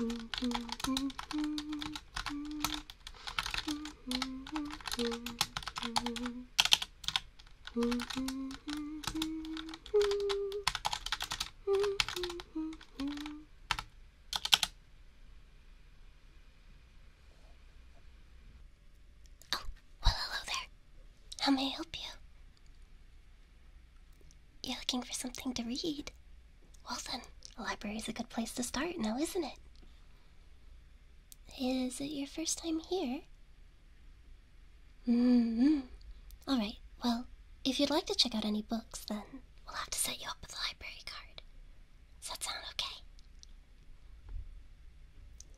Oh, well, hello there. How may I help you? You're looking for something to read? Well then, a library's a good place to start now, isn't it? Is it your first time here? hmm Alright, well, if you'd like to check out any books, then we'll have to set you up with a library card. Does that sound okay?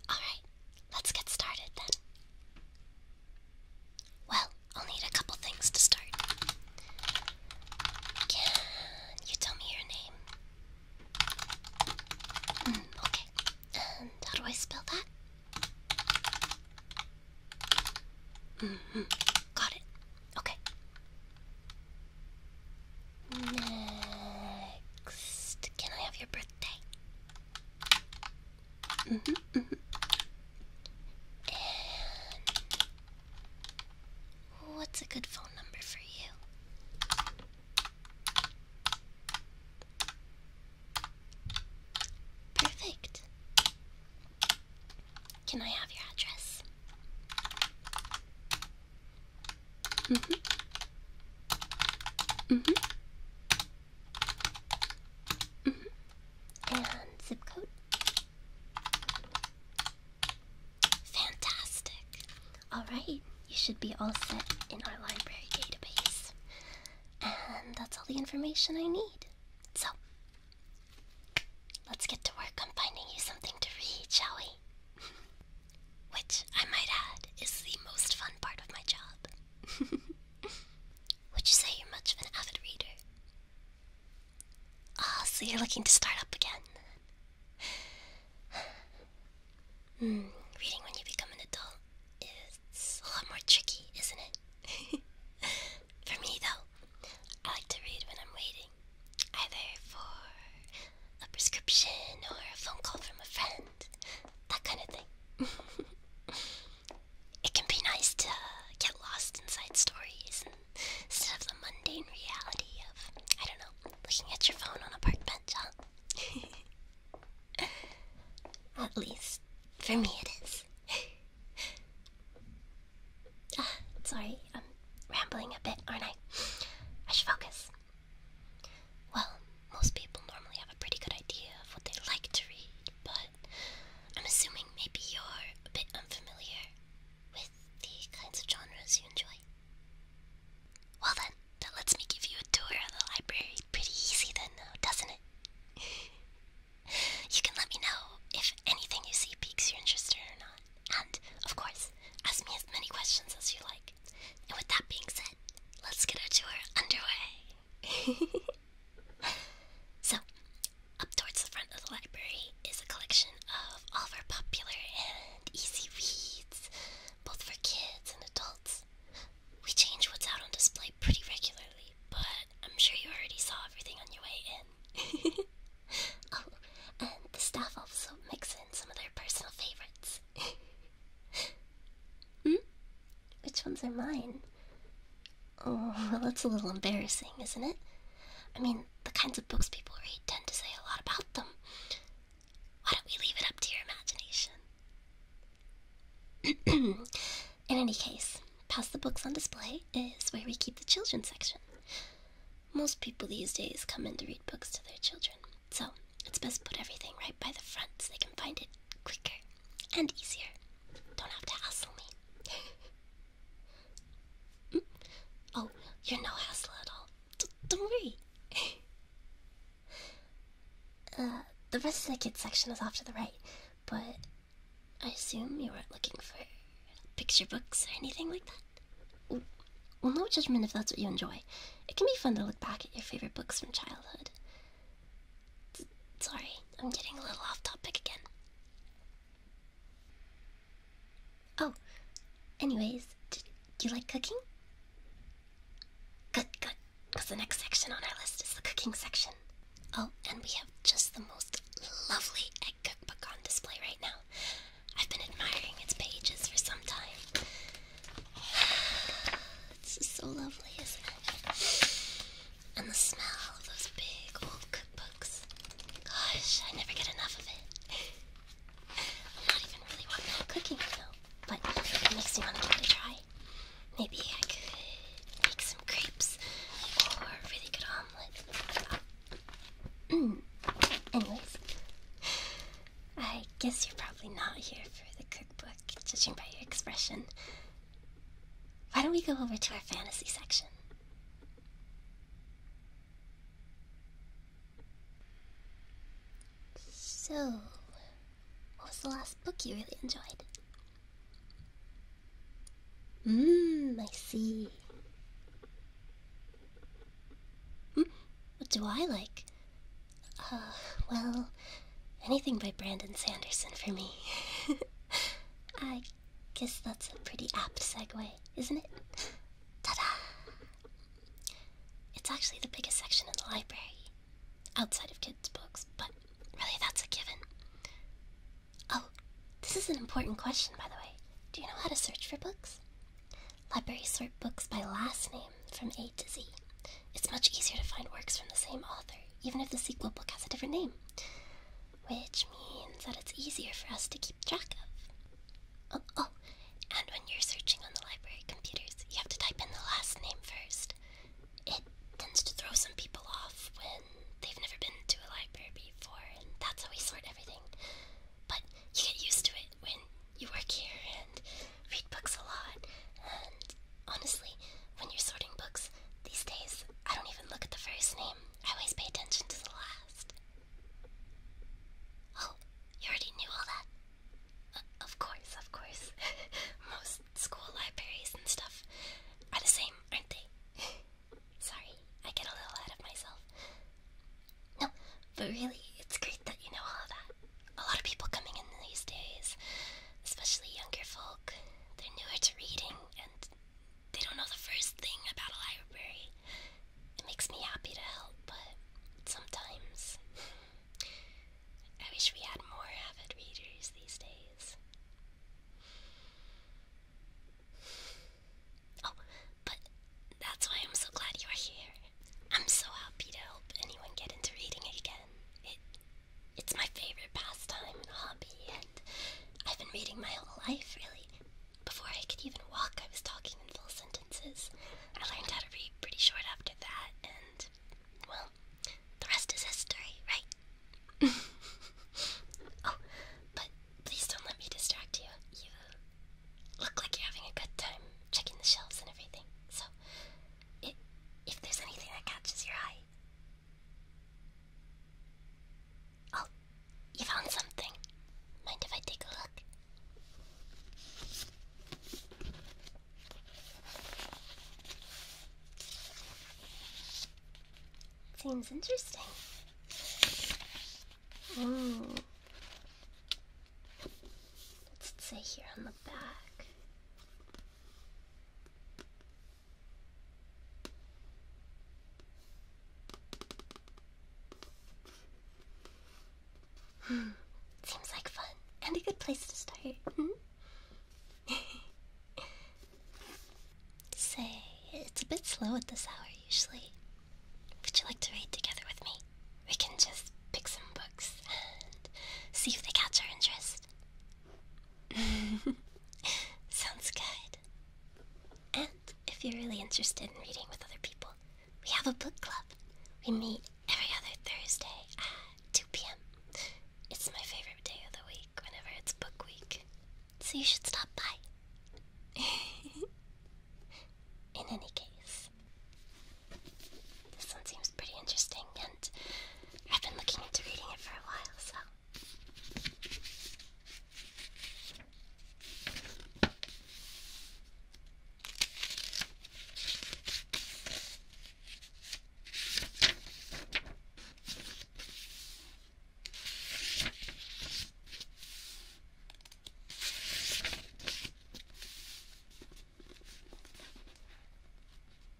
Alright, let's get started then. Well, I'll need a couple things to start. Can you tell me your name? Hmm, okay. And how do I spell that? Mm-hmm, got it. Okay. Next, can I have your birthday? Mm-hmm, mm-hmm. what's a good phone number for you? Perfect. Can I have your address? hmm hmm Mm-hmm. And zip code. Fantastic. Alright, you should be all set in our library database. And that's all the information I need. So, let's get to work on finding you something to read, shall we? Which, I might add, is the most fun part of my job. Would you say you're much of an avid reader? Ah, oh, so you're looking to start up again. Hmm, reading when you become an adult is a lot more tricky, isn't it? for me, though, I like to read when I'm waiting, either for a prescription or a phone call from a friend, that kind of thing. it can be nice to get lost inside stories instead of the mundane reality of, I don't know, looking at your phone on a park bench, at least, for me it is. Ah, sorry, I'm rambling a bit, aren't I? I should focus. Well, most people normally have a pretty good idea of what they like to read, but I'm assuming maybe you're a bit unfamiliar with the kinds of genres you enjoy. Well then, that lets me give you a tour of the library pretty easy then now, doesn't it? you can let me know if anything you see piques your interest or not. And, of course, ask me as many questions as you like. And with that being said, let's get our tour underway. so, up towards the front of the library is a collection of all of our popular and easy reads, both for kids and adults. We change what's out on display pretty regularly, but I'm sure you already saw everything on your way in. oh, and the staff also mix in some of their personal favorites. hmm? Which ones are mine? Oh, well, that's a little embarrassing, isn't it? I mean, the kinds of books people read tend to say a lot about them. Why don't we leave it up to your imagination? In any case, past the books on display is where we keep the children's section. Most people these days come in to read books to their children, so it's best to put everything right by the front so they can find it quicker and easier. Don't have to hassle me. Oh, you're no hassle at all. don't worry. Uh, the rest of the kids section is off to the right, but I assume you weren't looking for picture books or anything like that. Well, no judgment if that's what you enjoy. It can be fun to look back at your favorite books from childhood. Sorry, I'm getting a little off topic again. Oh, anyways, do you like cooking? Good, good, because the next section on our list is the cooking section. Oh, and we have just the most lovely egg cookbook on display right now. I've been admiring its pages for some time. It's so lovely, isn't it? And the smell of those big old cookbooks. Gosh, I never get enough of it. I'm not even really one now cooking, you know, but it makes me want to give it a try. Maybe I could make some crepes or a really good omelet. Mm. Anyways, I guess you're probably not here for the cookbook, judging by your expression. Why don't we go over to our fantasy section? So, what was the last book you really enjoyed? Mmm, I see. Hmm, what do I like? Uh, well, Anything by Brandon Sanderson for me. I guess that's a pretty apt segue, isn't it? Ta da! It's actually the biggest section in the library, outside of kids' books, but really that's a given. Oh, this is an important question, by the way. Do you know how to search for books? Libraries sort books by last name from A to Z. It's much easier to find works from the same author, even if the sequel book has a different name. Which means that it's easier for us to keep track of. Oh, oh, and when you're searching on the library computers, you have to type in the last name first. It tends to throw some people off when they've never been to a library before, and that's how we sort everything. But you get used to it when you work here and read books a lot, and Honestly, when you're sorting books, these days I don't even look at the first name. I always pay attention to the last. Oh, you already knew all that? Uh, of course, of course. Most school libraries and stuff are the same, aren't they? Sorry, I get a little ahead of myself. No, but really, it's great that you know all that a lot of people coming in these days, especially younger folk. They're newer to reading and they don't know the first thing about a library. It makes me happy to help, but sometimes I wish we had more avid readers these days. Oh, but that's why I'm so glad you're here. I'm so happy to help anyone get into reading again. It it's my favorite pastime and hobby, and I've been reading my whole life, really. Before I could even walk, I was talking in full sentences. I learned how to read pretty short after that, and, well, the rest is history, right? oh, but please don't let me distract you. You look like you're having a good time checking the shelves and everything, so. if there's anything that catches your eye, Oh, you found something. Mind if I take a look? Seems interesting. Mm. What's it say here on the back? Seems like fun and a good place to start. Hmm? Say, it's a bit slow at this hour usually. Would you like to read together with me? We can just pick some books and see if they catch our interest. Sounds good. And if you're really interested in reading with other people, we have a book club. We meet every other Thursday at 2 p.m. It's my favorite day of the week whenever it's book week. So you should stop by. in any case, this one seems pretty interesting, and I've been looking into reading it for a while, so.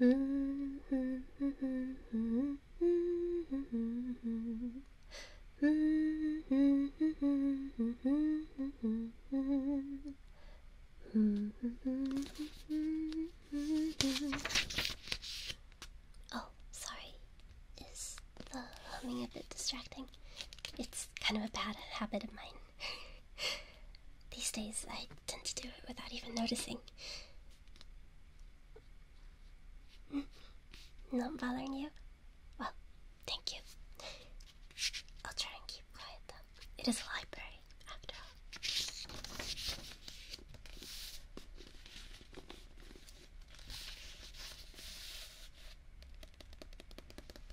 Oh, sorry. Is the humming a bit distracting? It's kind of a bad habit of mine. These days, I tend to do it without even noticing. Hmm? Not bothering you? Well, thank you. I'll try and keep quiet though. It is a library, after all.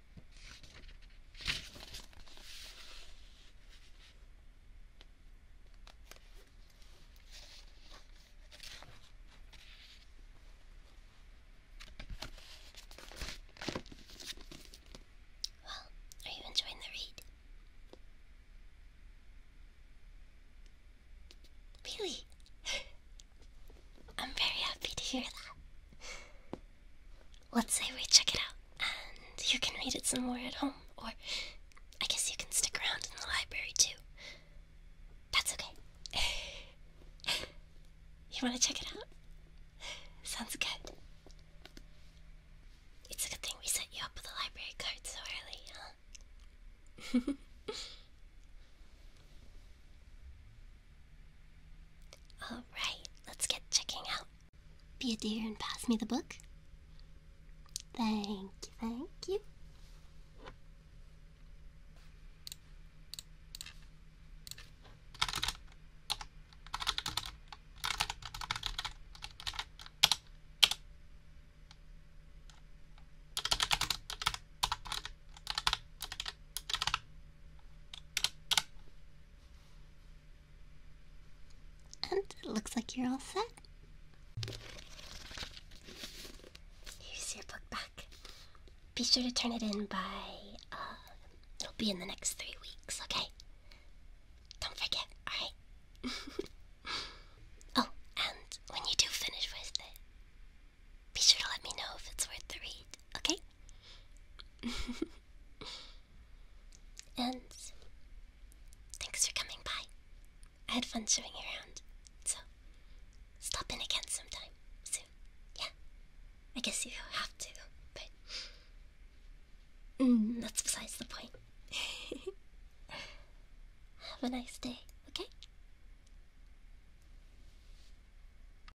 Well, are you enjoying the read? Really? I'm very happy to hear that. Let's say we check it out, and you can read it some more at home, or I guess you can stick around in the library too. That's okay. you want to check it out? Sounds good. It's a good thing we set you up with a library card so early, huh? Alright, let's get checking out. Be a dear and pass me the book. Thank you, thank you. And it looks like you're all set. Here's your book back. Be sure to turn it in by, uh, it'll be in the next three weeks, okay? Don't forget, alright? oh, and when you do finish with it, be sure to let me know if it's worth the read. Okay? and thanks for coming by. I had fun showing you around, so stop in again sometime soon. Yeah? I guess you have to, but. Mm, that's besides the point. Have a nice day, okay?